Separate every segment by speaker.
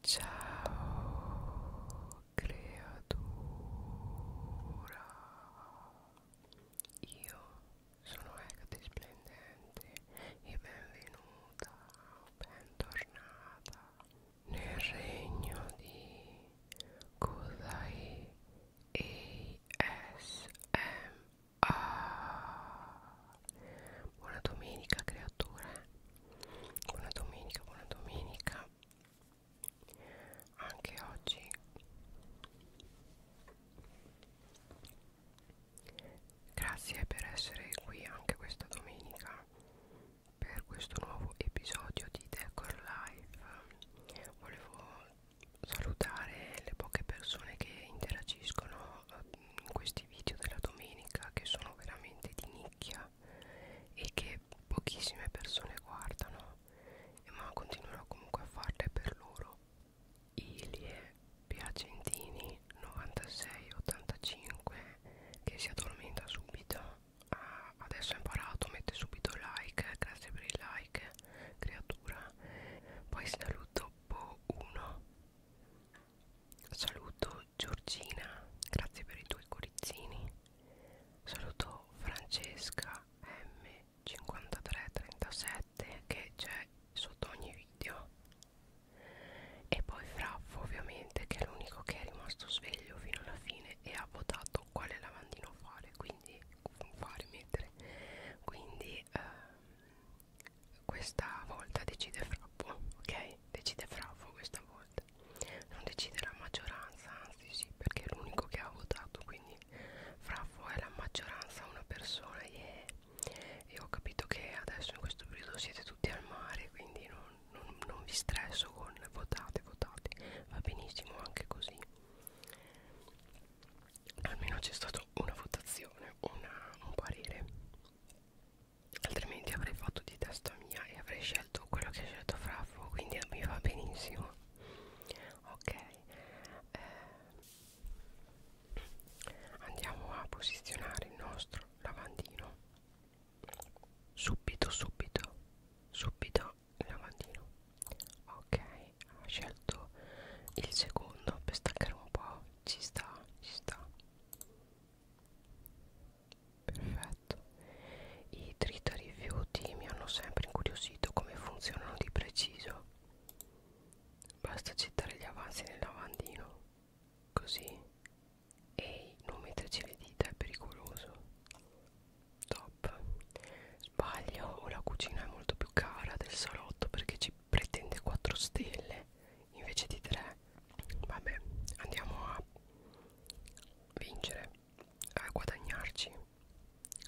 Speaker 1: Ciao creatura Io sono Ecate Splendente e benvenuta, bentornata nel regno di Kudai ASMR Buona domenica creature buona domenica buona domenica anche oggi grazie per essere qui anche questa domenica per questo nuovo episodio di Decor Live volevo salutare le poche persone che interagiscono eh, in questi video della domenica che sono veramente di nicchia e che pochissime persone guardano ma continuerò comunque a farle per loro Ilie Piacentini 9685 che si addormenta subito ah, adesso ho imparato mette subito like grazie per il like creatura poi saluto Po1 saluto Giorgina, grazie per i tuoi corizzini. Saluto Francesca M5337 che c'è sotto ogni video. E poi Fraffo ovviamente che è l'unico che è rimasto sveglio fino alla fine e ha votato quale lavandino fare, quindi fare mettere. Quindi ehm, questa volta decide Frappo, ok? Decide Fraffo questa volta volte non decide la maggioranza anzi sì perché è l'unico che ha votato quindi fra voi la maggioranza una persona yeah. e ho capito che adesso in questo periodo siete tutti al mare quindi non, non, non vi stresso con votate votate va benissimo anche così almeno c'è stata una votazione una, un parere altrimenti avrei fatto di testa mia e avrei scelto quello che ha scelto Fraffo quindi mi va benissimo ok eh, andiamo a posizionare il nostro lavandino subito subito subito il lavandino ok ho scelto il secondo per staccare un po' ci sta ci sta Perfetto. I trita rifiuti mi hanno sempre incuriosito come funzionano di preciso. Basta gettare gli avanzi nel lavandino. Così. Ehi, non metterci le dita è pericoloso. Top. Sbaglio, o la cucina è molto più cara del salotto perché ci pretende 4 stelle invece di 3 vabbè andiamo a vincere a guadagnarci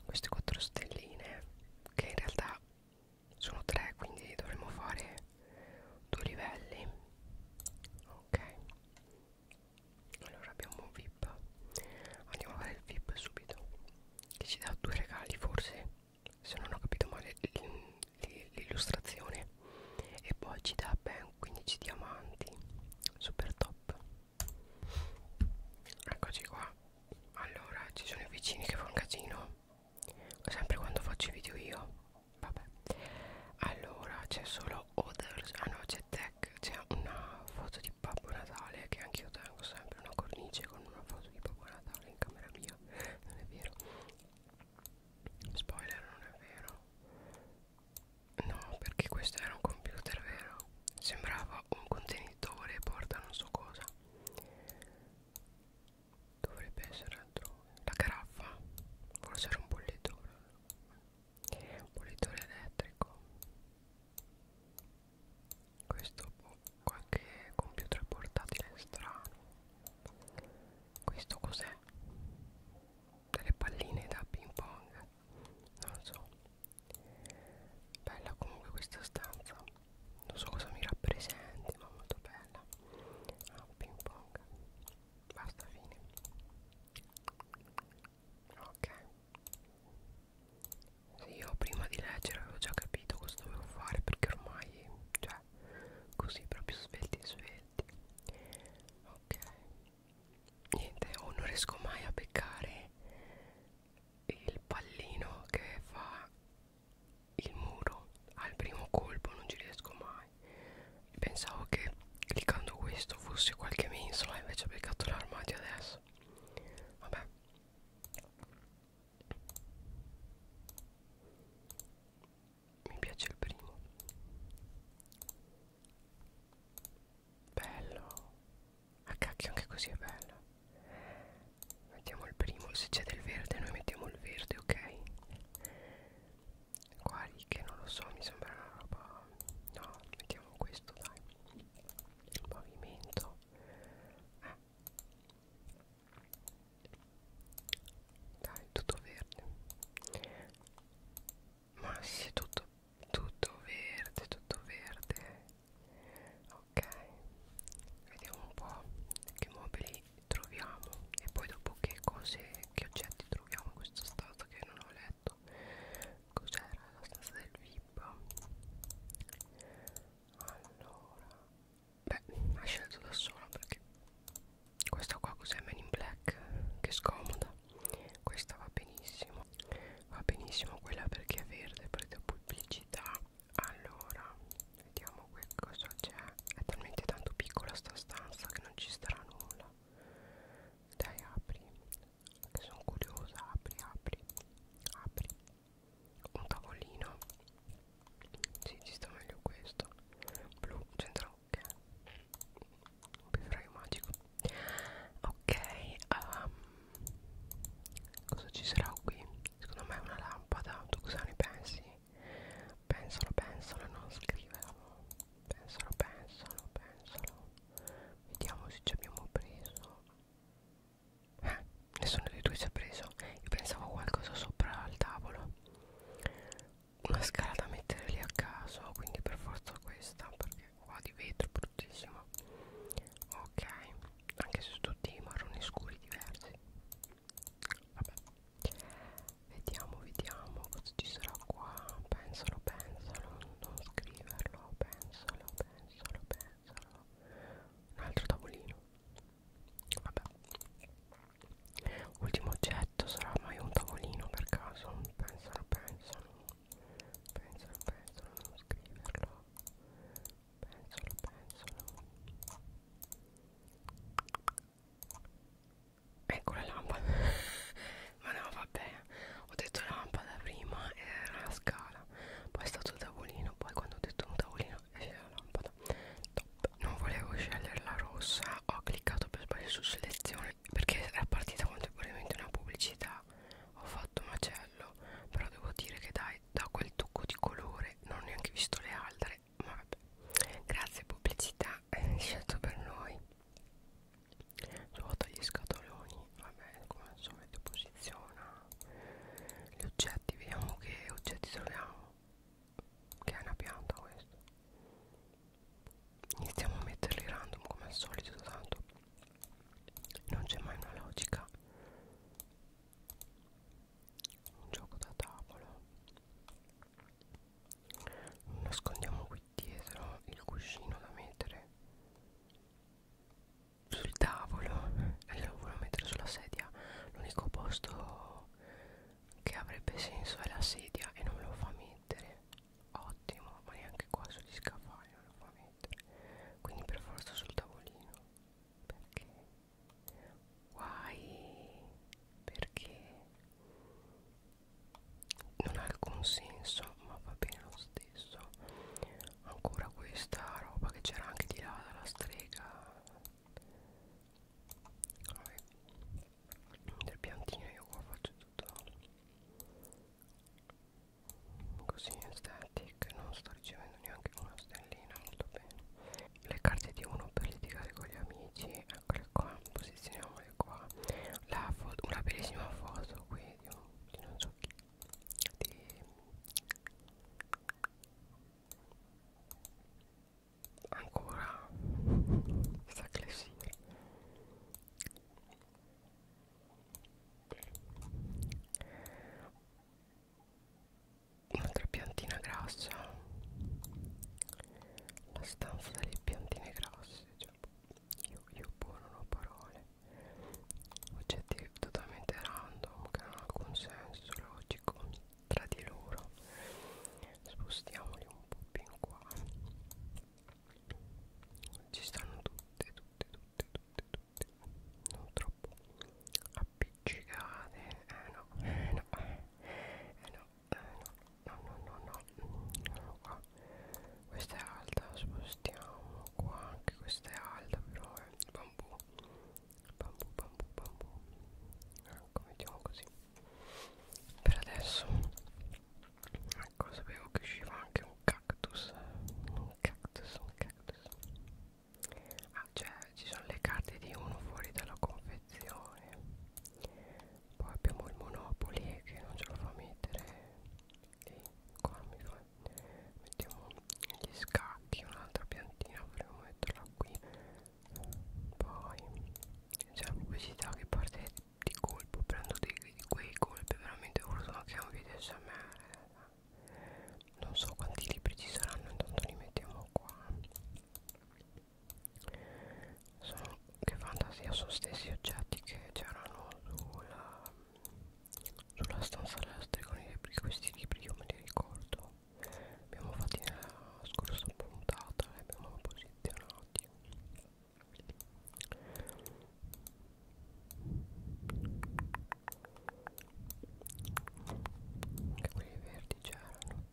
Speaker 1: queste 4 stelline che in realtà sono 3 quindi dovremmo fare due livelli ok allora abbiamo vip andiamo a fare il vip subito che ci dà due regali forse se non ho capito male il l'illustrazione e poi ci dà ben 15 diamanti super top eccoci qua allora ci sono i vicini che fa un casino sempre quando faccio i video io vabbè allora c'è solo others ah no c'è tech c'è una foto di Babbo Natale che anche io tengo sempre una cornice con una foto di Babbo Natale in camera mia non è vero Spoiler non è vero No perché questo era un computer vero Sembrava un contenitore porta non so cosa Dovrebbe essere altrove La caraffa Forse era un bollitore Un bollitore elettrico Questo qualche computer portatile strano Questo cos'è? delle palline da ping pong non so bella comunque questa stanza non so cosa mi rappresenti ma molto bella ah, ping pong basta fine ok sì, io prima di leggere avevo già capito cosa dovevo fare perché ormai cioè caffè così proprio svelti svelti ok niente o oh, non riesco mai a beccare il pallino che fa il muro al primo colpo non ci riesco mai pensavo che cliccando questo fosse qualche mensola invece ho beccato l'armadio adesso vabbè mi piace il primo bello a ah, cacchio anche così è bello mettiamo il primo se c'è del verde noi mettiamo il verde ok qua che non lo so mi sembra una roba no mettiamo questo dai il pavimento eh. Ah dai tutto verde ma sì tutto tutto verde tutto verde ok vediamo un po' che mobili troviamo e poi dopo che cose che oggetti troviamo in questa stanza che non ho letto cos'era la stanza del vip allora beh ha scelto da sola perché questa qua cos'è Man in Black che scomoda questa va benissimo va benissimo quella perché è verde prete pubblicità allora vediamo qui cosa c'è è talmente tanto piccola sta stanza che non ci starà nulla dai apri che sono curiosa apri apri apri un tavolino si sì, ci sta meglio questo blu centrale parrucche un bevraio magico ok um, cosa ci sarà qui? secondo me è una lampada tu cosa ne pensi? pensalo pensalo non scrivelo pensalo pensalo pensalo vediamo se ci abbiamo preso eh, nessuno dei due si è preso io pensavo a qualcosa sopra al tavolo una scala da mettere lì a caso quindi per forza questa perché qua di vetro bruttissimo ok anche se tutti marroni scuri diversi vabbè vediamo vediamo cosa ci sarà qua pensalo pensalo non scriverlo pensalo pensalo pensalo un altro tavolino vabbè Ultimo oggetto sarà mai un tavolino per caso? Pensano, pensano, pensano, pensano, non scriverlo. Pensano, pensano. Ecco la lampada. Ma no, vabbè, ho detto lampada prima e era la scala. Poi è stato il tavolino, poi quando ho detto un tavolino era la lampada. Top non volevo scegliere la rossa ho cliccato per sbaglio su selezione perché era partita contemporaneamente una pubblicità ho fatto macello però devo dire che dai da quel tocco di colore non ho neanche visto le altre ma vabbè grazie pubblicità eh, hai scelto per noi ruota gli scatoloni vabbè come al solito posiziona gli oggetti vediamo che oggetti troviamo che è una pianta questo iniziamo a metterli random come al solito tanto non c'è mai una logica un gioco da tavolo nascondiamo qui dietro il cuscino da mettere sul tavolo e lo volevo mettere sulla sedia l'unico posto che avrebbe senso è la sedia e non me lo fa mettere mettere ottimo ma neanche qua sugli scaffali non lo fa mettere quindi per forza sul tavolino perché guai perché non ha alcun senso ma va bene lo stesso ancora questa roba che c'era anche di là dalla strega Vabbè. Del piantino io qua faccio tutto così in static, non sto ricevendo neanche una stellina, molto bene. Le carte di uno per litigare con gli amici, eccole qua, posizioniamole qua. La foto, una bellissima foto qui di, un, di non so chi. Di ancora sta classifica un'altra piantina grassa la stanza delle piantine grasse cioè, io, io buono non ho parole oggetti totalmente random che non hanno alcun senso logico tra di loro spostiamoli un po' più in qua ci stanno tutte tutte tutte tutte tutte non troppo appiccicate eh no eh no eh, eh no eh no no no no no no qua questa è alta spostiamo qua anche questa è alta però è bambù bambù bambù bambù ecco mettiamo così per adesso ecco sapevo che usciva anche un cactus un cactus un cactus ah cioè ci sono le carte di uno fuori dalla confezione poi abbiamo il monopoli che non ce lo fa mettere e qua mi fa mettiamo gli scacchi un'altra piantina potremmo metterla qui poi c'è la pubblicità che parte di colpo prendo di, di quei colpi veramente urlo anche un video smr non so quanti libri ci saranno intanto li mettiamo qua sono che fantasia sono stessi oggetti che c'erano sulla sulla stanza della stregoneria perché questi libri io me li ricordo abbiamo fatti nella scorsa puntata li abbiamo posizionati minuti anche quelli verdi c'erano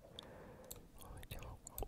Speaker 1: lo mettiamo qua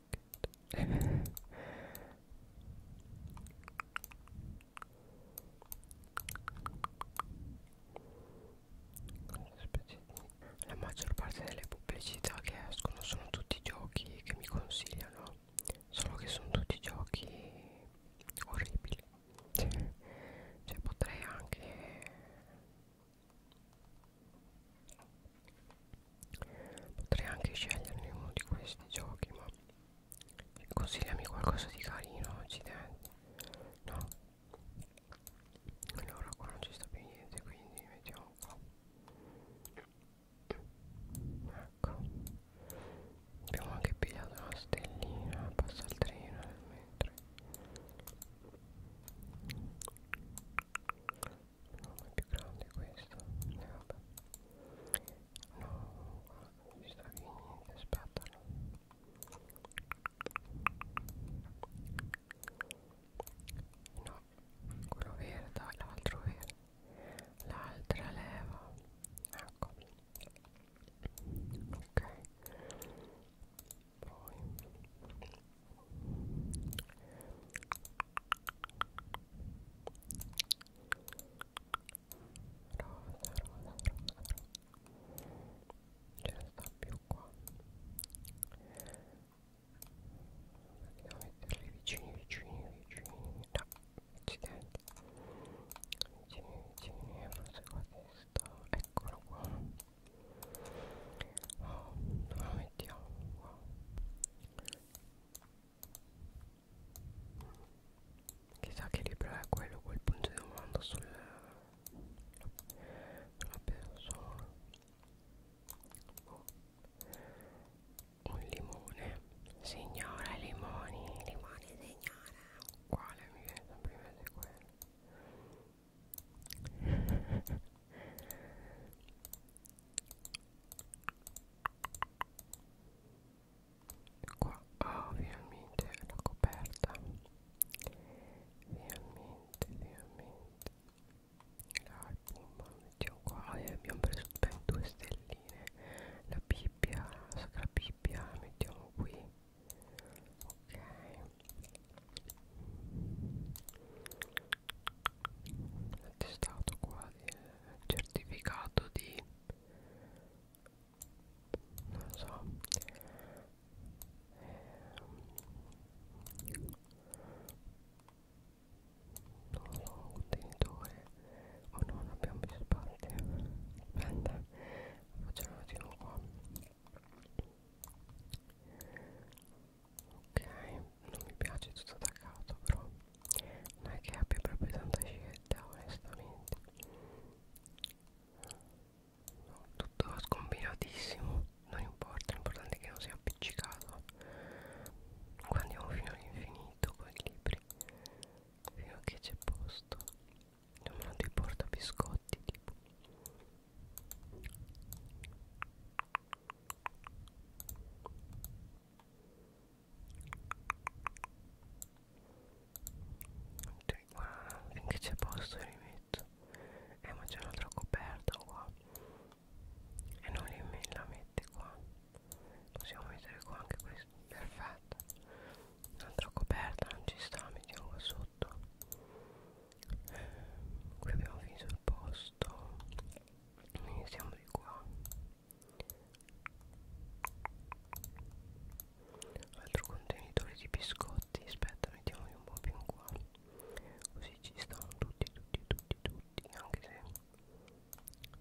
Speaker 1: jacket la maggior parte delle pubblicità che escono sono tutti giochi che mi consigliano solo che sono tutti giochi orribili cioè potrei anche Potrei anche sceglierne uno di questi giochi, ma consigliami qualcosa di carino, accidenti. No. Allora qua non ci sta più niente, quindi mettiamo qua. Ecco. Abbiamo anche pigliato una stellina, passa il treno nel mentre è più grande questo e eh, vabbè no non ci stavi niente aspettalo no quello verde l'altro verde l'altra leva ecco ok poi ce ne sta più qua andiamo a metterli vicini vicini vicini no, accidenti vicini vicini forse qua questo eccolo qua oh, dove lo mettiamo qua Chissà che libro è quello quel punto di domanda sul una persona oh. un limone signora limoni limoni signora quale mi viene sempre in mente quello qua ah oh, ovviamente la coperta ovviamente ovviamente dai bomba mettiamo qua e abbiamo preso ben due stelline la bibbia la sacra bibbia la mettiamo qui ok l'attestato qua il certificato di non so eh, non so contenitore o oh no non abbiamo più spazi aspetta facciamo un attimo qua ok non mi piace tutto attaccato però non è che abbia proprio tanta scelta onestamente no, tutto scombinatissimo non importa l'importante è che non sia appiccicato qua andiamo fino all'infinito con i libri fino a che c'è posto non me lo porta biscotti tipo cioè qua finché c'è posto li metto Eh ma c'è un'altra coperta qua E non li me la mette qua Possiamo mettere qua anche questo Perfetto Un'altra coperta non ci sta Mettiamo qua sotto Qui abbiamo finito il posto Iniziamo di qua altro contenitore di biscotti aspetta mettiamoli un po' più in qua così ci stanno tutti tutti tutti tutti anche se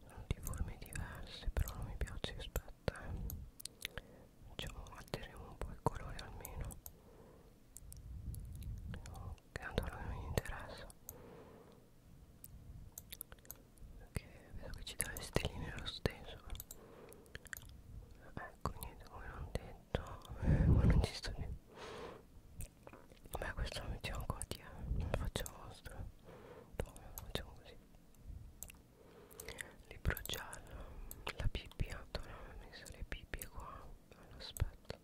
Speaker 1: sono di forme diverse però non mi piace aspetta eh. facciamo altereremo un po' il colore almeno che tanto a lui non gli interessa che vedo che ci dà le stelline lo stesso ecco eh, niente come non detto ma non ci sto niente beh questo lo mettiamo qua di lo faccio vostro poi lo facciamo così libro giallo la bibbia ho messo le bibbie qua allora, aspetta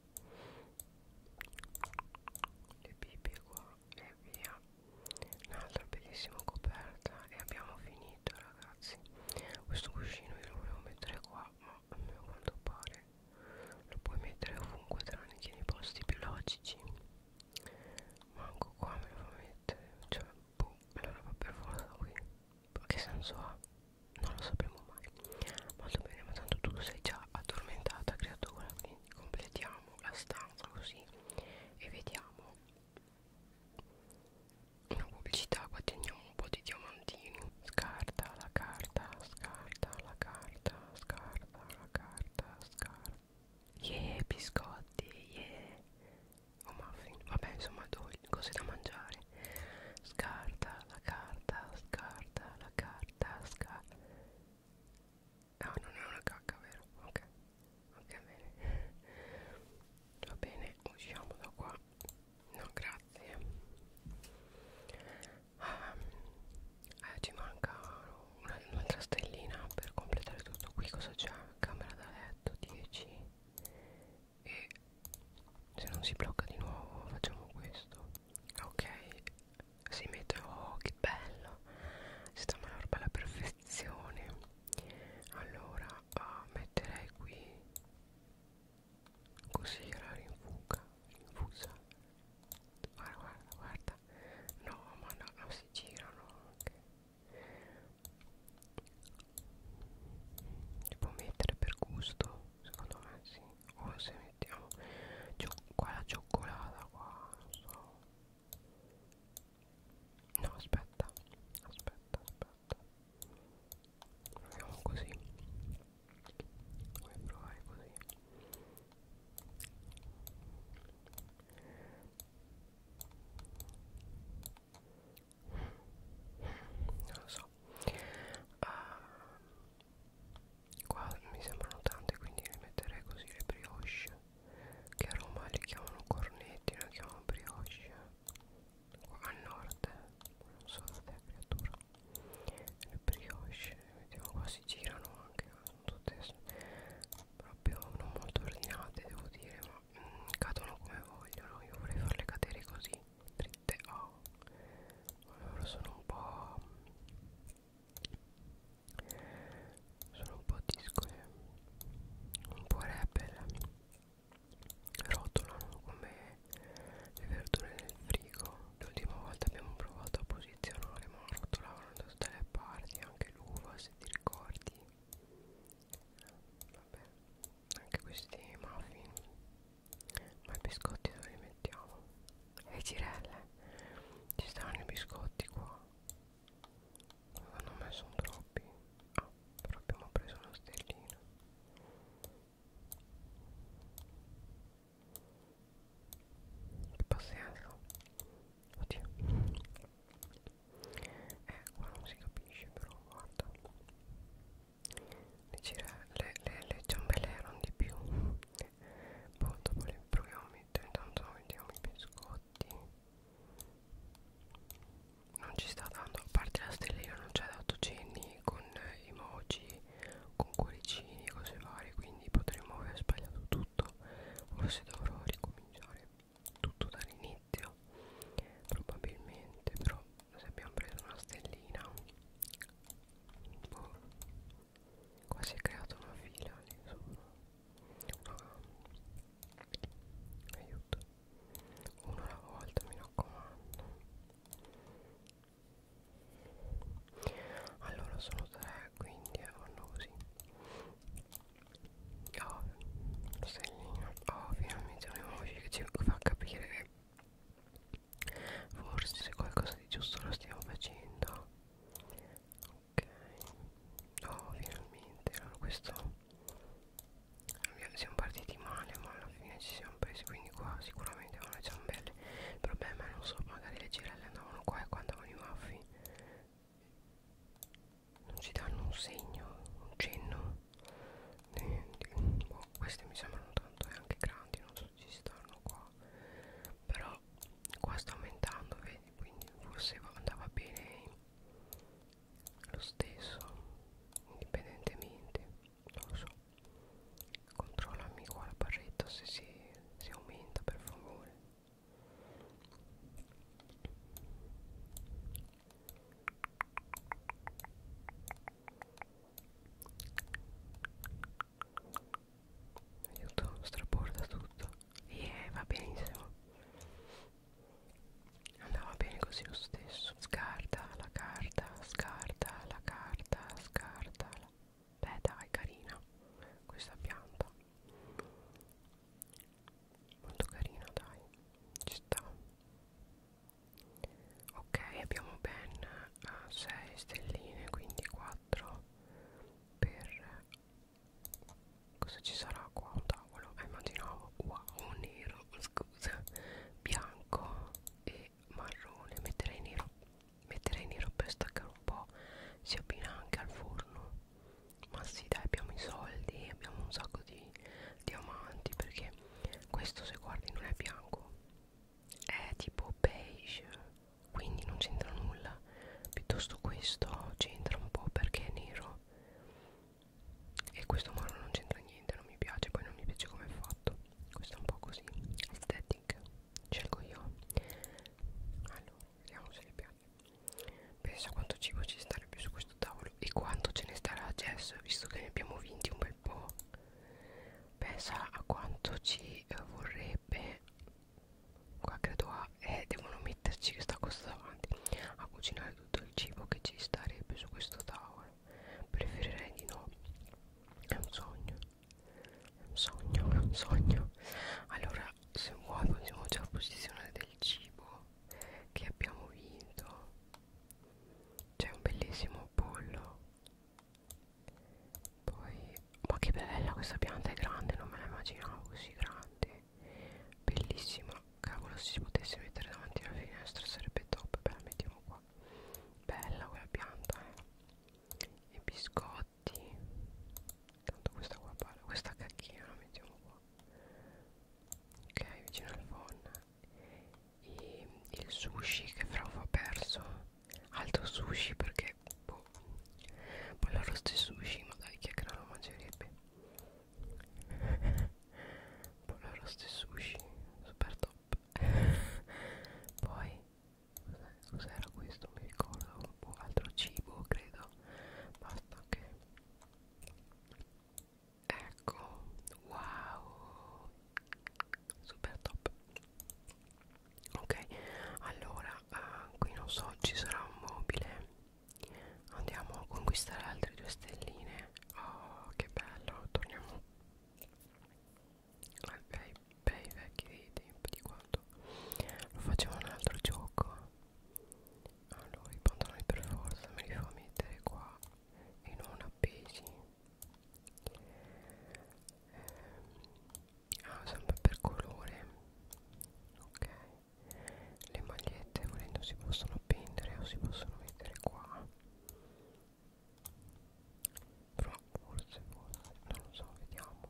Speaker 1: le bibbie qua e via un'altra bellissima coperta e abbiamo finito ragazzi questo cuscino io lo volevo mettere qua ma a quanto pare lo puoi mettere ovunque tranne che nei posti più logici manco qua me lo fa mettere cioè boh me lo fa per forza qui ma che senso ha? non lo sapremo mai molto bene ma tanto tu sei già addormentata creatura quindi completiamo la stanza così e vediamo una pubblicità guadagniamo un po' di diamantini scarta la carta scarta la carta scarta la carta scarta yeah biscotti yeah o oh, muffin vabbè insomma cose da mangiare scarta la carta scarta la carta scarta Ah, non è una cacca, vero? Ok, ok, bene. Va bene, usciamo da qua. No, grazie. Ah, eh, ci manca un'altra stellina per completare tutto qui. Cosa c'è? Camera da letto 10. E se non si blocca di nuovo, facciamo questo. Ok, si mette oh che bello si trova la roba alla perfezione allora ah, metterei qui così la rinfuga rinfusa guarda guarda guarda no ma no, no si girano anche si può mettere per gusto secondo me sì o oh, se mettiamo qua la cioccolata qua non so no aspetta aspetta aspetta proviamo così vuoi provare così non lo so uh, qua mi sembrano tante quindi le metterei così le brioche che a Roma le chiamano cornetti le chiamano brioche qua al nord non so da te creatura le brioche le mettiamo qua si girano anche eh, sono tutte proprio non molto ordinate devo dire ma mm, cadono come vogliono io vorrei farle cadere così dritte oh allora sono un po' sono un po' disco e eh. un po' rebel eh, rotolano come le verdure nel frigo l'ultima volta abbiamo provato a posizionare ma rotolavano da tutte le parti anche l'uva se ti ricordi vabbè anche questi muffin ma i biscotti dove li mettiamo le girelle ci stanno i biscotti qua non hanno messo un troppi ah però abbiamo preso uno stellino che pazienza oddio eh qua non si capisce però guarda le, le, le ciambelle erano di più che boh, dopo le proviamo a mettere intanto mettiamo i biscotti non ci sta dando a parte la stellina non ci ha dato cenni con emoji con cuoricini e cose varie quindi potremmo aver sbagliato tutto forse dovrò ricominciare tutto dall'inizio probabilmente però se abbiamo preso una stellina boh, qua si è creata una fila lì sopra ah. aiuto uno alla volta mi raccomando allora sono tre quindi vanno così oh lo stellino oh finalmente un'emoji che ci fa capire che forse qualcosa di giusto lo stiamo facendo ok oh finalmente allora questo siamo partiti male ma alla fine ci siamo presi quindi qua sicuramente avevano le ciambelle il problema non so magari le girelle andavano qua e qua andavano i maffi non ci danno un segno un cenno niente boh, queste mi sembrano tanto e eh, anche grandi non so se ci stanno qua però qua sta aumentando vedi quindi forse andava bene lo stesso indipendentemente non lo so controllami qua la barretta se si, si aumenta per favore aiuto straborda tutto e yeah, va benissimo andava bene così lo stesso scarta la carta scarta la carta scarta la... beh dai carina questa pianta molto carina dai ci sta ok abbiamo ben 6 eh, stelline quindi 4 per cosa ci sarà qua un tavolo eh, immaginavo wow nero scusa bianco e marrone metterei nero metterei nero per staccare un po si abbina anche al forno ma sì dai abbiamo i soldi abbiamo un sacco di diamanti perché questo se guardi non è bianco è tipo beige quindi non c'entra nulla piuttosto questo c'entra un po' perché è nero e questo marrone non c'entra niente non mi piace poi non mi piace come è fatto questo è un po' così aesthetic scelgo io allora vediamo se le piace pensa quanto cibo ci starebbe su questo tavolo e quanto ce ne starà Jess visto che ne abbiamo vinti un bel po' pensa a quanto ci eh, vorrebbe qua credo a eh, devono metterci questa cosa davanti a cucinare tutto il cibo che ci starebbe su questo tavolo preferirei di no è un sogno è un sogno è un sogno allora se vuoi possiamo già posizionare del cibo che abbiamo vinto c'è un bellissimo pollo poi, ma che bella questa pianta è grande, non me la immaginavo così grande. Bellissima, cavolo, se si potesse mettere davanti alla finestra sarebbe top. Beh, la mettiamo qua. Bella quella pianta, eh. E biscotti. Tanto questa qua parla, questa cacchina la mettiamo qua. Ok, vicino al phone. E il sushi che però ho perso altro sushi perché boh, boh arrosto e sushi ma dai chi è che non lo mangerebbe pollo arrosto e sushi super top poi cos'era questo mi ricordo un po' altro cibo credo basta che ecco wow super top ok allora uh, qui non so ci sarà un mobile andiamo a conquistare altre due stelline oh che bello torniamo ai bei, bei vecchi tempi di quando lo facevo un altro gioco allora i pantaloni per forza me li fa mettere qua e non appesi ehm, ah, sempre per colore ok le magliette volendo si possono appendere o si possono mettere qua però forse forse non lo so vediamo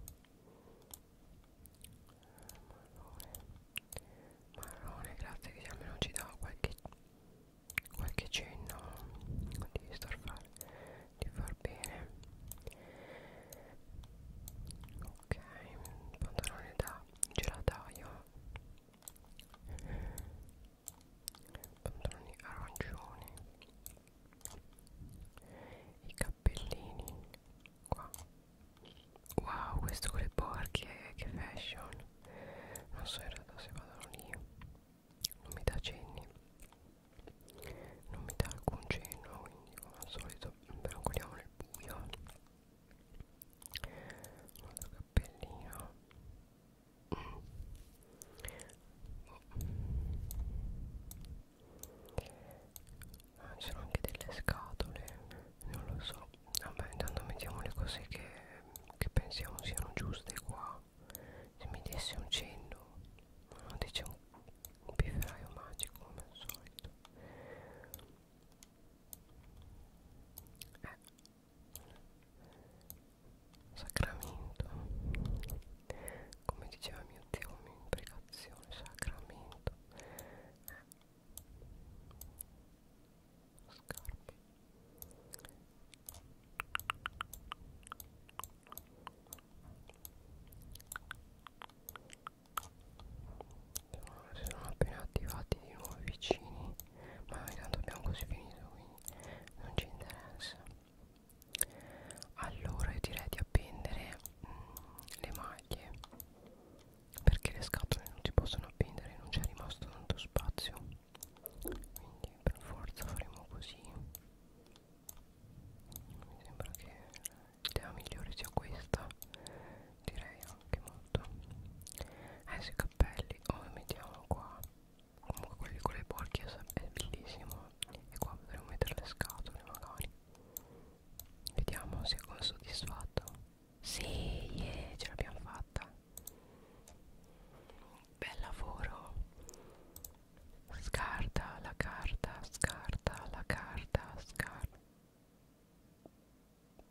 Speaker 1: marrone marrone grazie che almeno ci dà qualche qualche cenno di starfare di far bene ok pantalone da gelataio pantaloni arancioni i cappellini qua wow questo con le borchie che fashion non so in realtà se vado lì non mi dà cenni non mi dà alcun cenno quindi come al solito brancoliamo nel buio un altro cappellino mm. oh. ah, ci sono anche delle scatole non lo so vabbè intanto mettiamo le cose che, che pensiamo siano giuste qua se mi desse un cenno diciamo un pifferaio magico come al solito eh. Sacramento come diceva mio zio un'imprecazione sacramento eh. scarpe si sono appena attivati di nuovo vicini ma noi tanto abbiamo così finito quindi non ci interessa allora io direi di appendere mh, mm, le maglie perché le scatole non si possono appendere non c'è rimasto tanto spazio quindi per forza faremo così mi sembra che l'idea migliore sia questa direi anche molto eh sui cappelli o oh, mettiamo qua comunque quelli con le porchie è bellissimo e qua potremmo mettere le scatole magari vediamo se sono soddisfatto sì yeah, ce l'abbiamo fatta bel lavoro Scarta la carta, scarta la carta, scarta.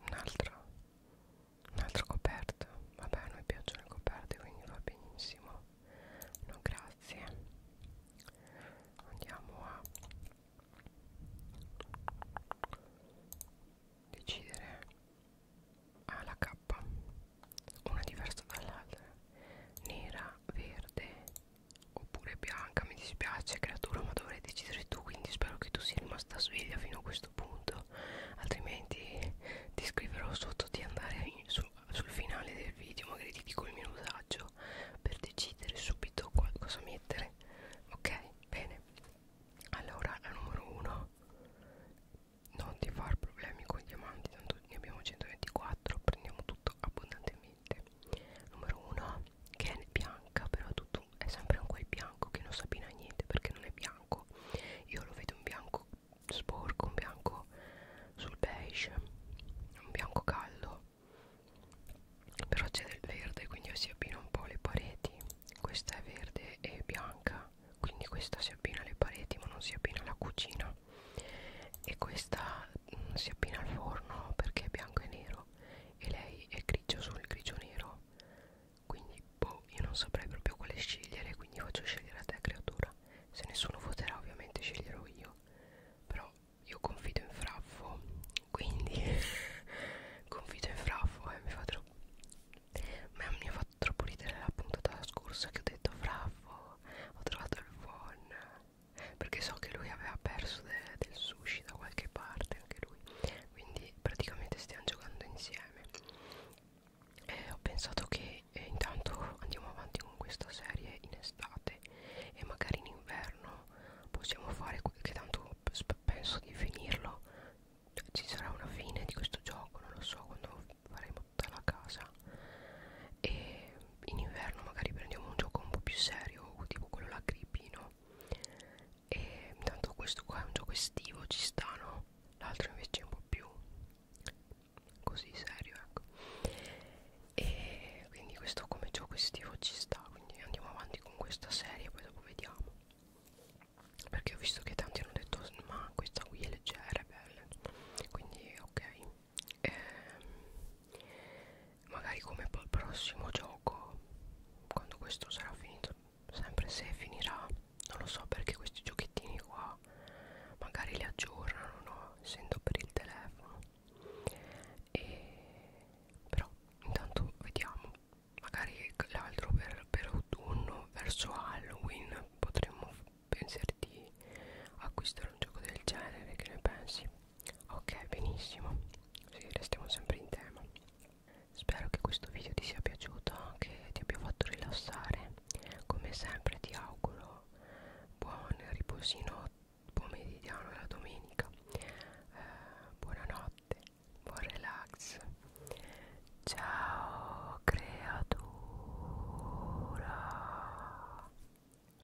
Speaker 1: Un altro, un altro coperto. Vabbè, a noi piacciono le coperte, quindi va benissimo. No, grazie. Andiamo a decidere ah, la K, una diversa dall'altra. Nera, verde Oppure Bianca, mi dispiace creatura ma dovrei decidere tu Quindi spero che tu sia rimasta sveglia fino a questo punto Altrimenti ti scriverò sotto di andare in, su, sul finale del video Magari ti dico il minutaggio per decidere subito cosa mettere Ok, bene Allora, la numero 1 Non ti far problemi con i diamanti Tanto ne abbiamo 124 Prendiamo tutto abbondantemente veramente numero 1 che è bianca però tutto è sempre un quel bianco che non sa bene a niente perché non è bianco io lo vedo un bianco sporco un bianco sul beige un bianco caldo però c'è del verde quindi si abbina un po' le pareti questa è verde e bianca quindi questa si abbina alle pareti ma non si abbina alla cucina e questa mh, mm, si appina al forno perché è bianco e nero e lei è grigio sul grigio nero quindi boh io non saprei proprio quale scegliere quindi faccio scegliere a te creatura se nessuno voterà ovviamente sceglierò io però io confido in Fraffo quindi confido in Fraffo e eh, mi fa troppo ma mi ha fatto troppo ridere la puntata scorsa che ho detto Fraffo ho trovato il buon perché so che lui aveva perso de del sushi da qualche parte anche lui quindi praticamente stiamo giocando insieme e ho pensato che eh, intanto andiamo avanti con questa serie in estate e magari in inverno possiamo fare che tanto penso di finirlo ci sarà una fine di questo gioco non lo so quando faremo tutta la casa e in inverno magari prendiamo un gioco un po' più serio tipo quello là Grippino e intanto questo qua è un gioco estivo ci sta no? l'altro invece è un po' più così serio ecco e quindi questo come gioco estivo ci sta quindi andiamo avanti con questa serie poi dopo vediamo perché ho visto che tanti hanno detto ma questa qui è leggera è bella quindi ok eh, magari come poi il prossimo gioco quando questo sarà finito sempre se finirà non lo so perché questi giochettini qua magari li aggiornano no? essendo per il telefono e però intanto vediamo magari l'altro per, per autunno verso Halloween potremmo pensare di acquistare un gioco del genere che ne pensi Ok, benissimo. Sì, restiamo sempre in tema. Spero che questo video ti sia piaciuto, che ti abbia fatto rilassare. Come sempre ti auguro buon riposino pomeridiano la domenica. Eh, buonanotte, buon relax. Ciao creatura.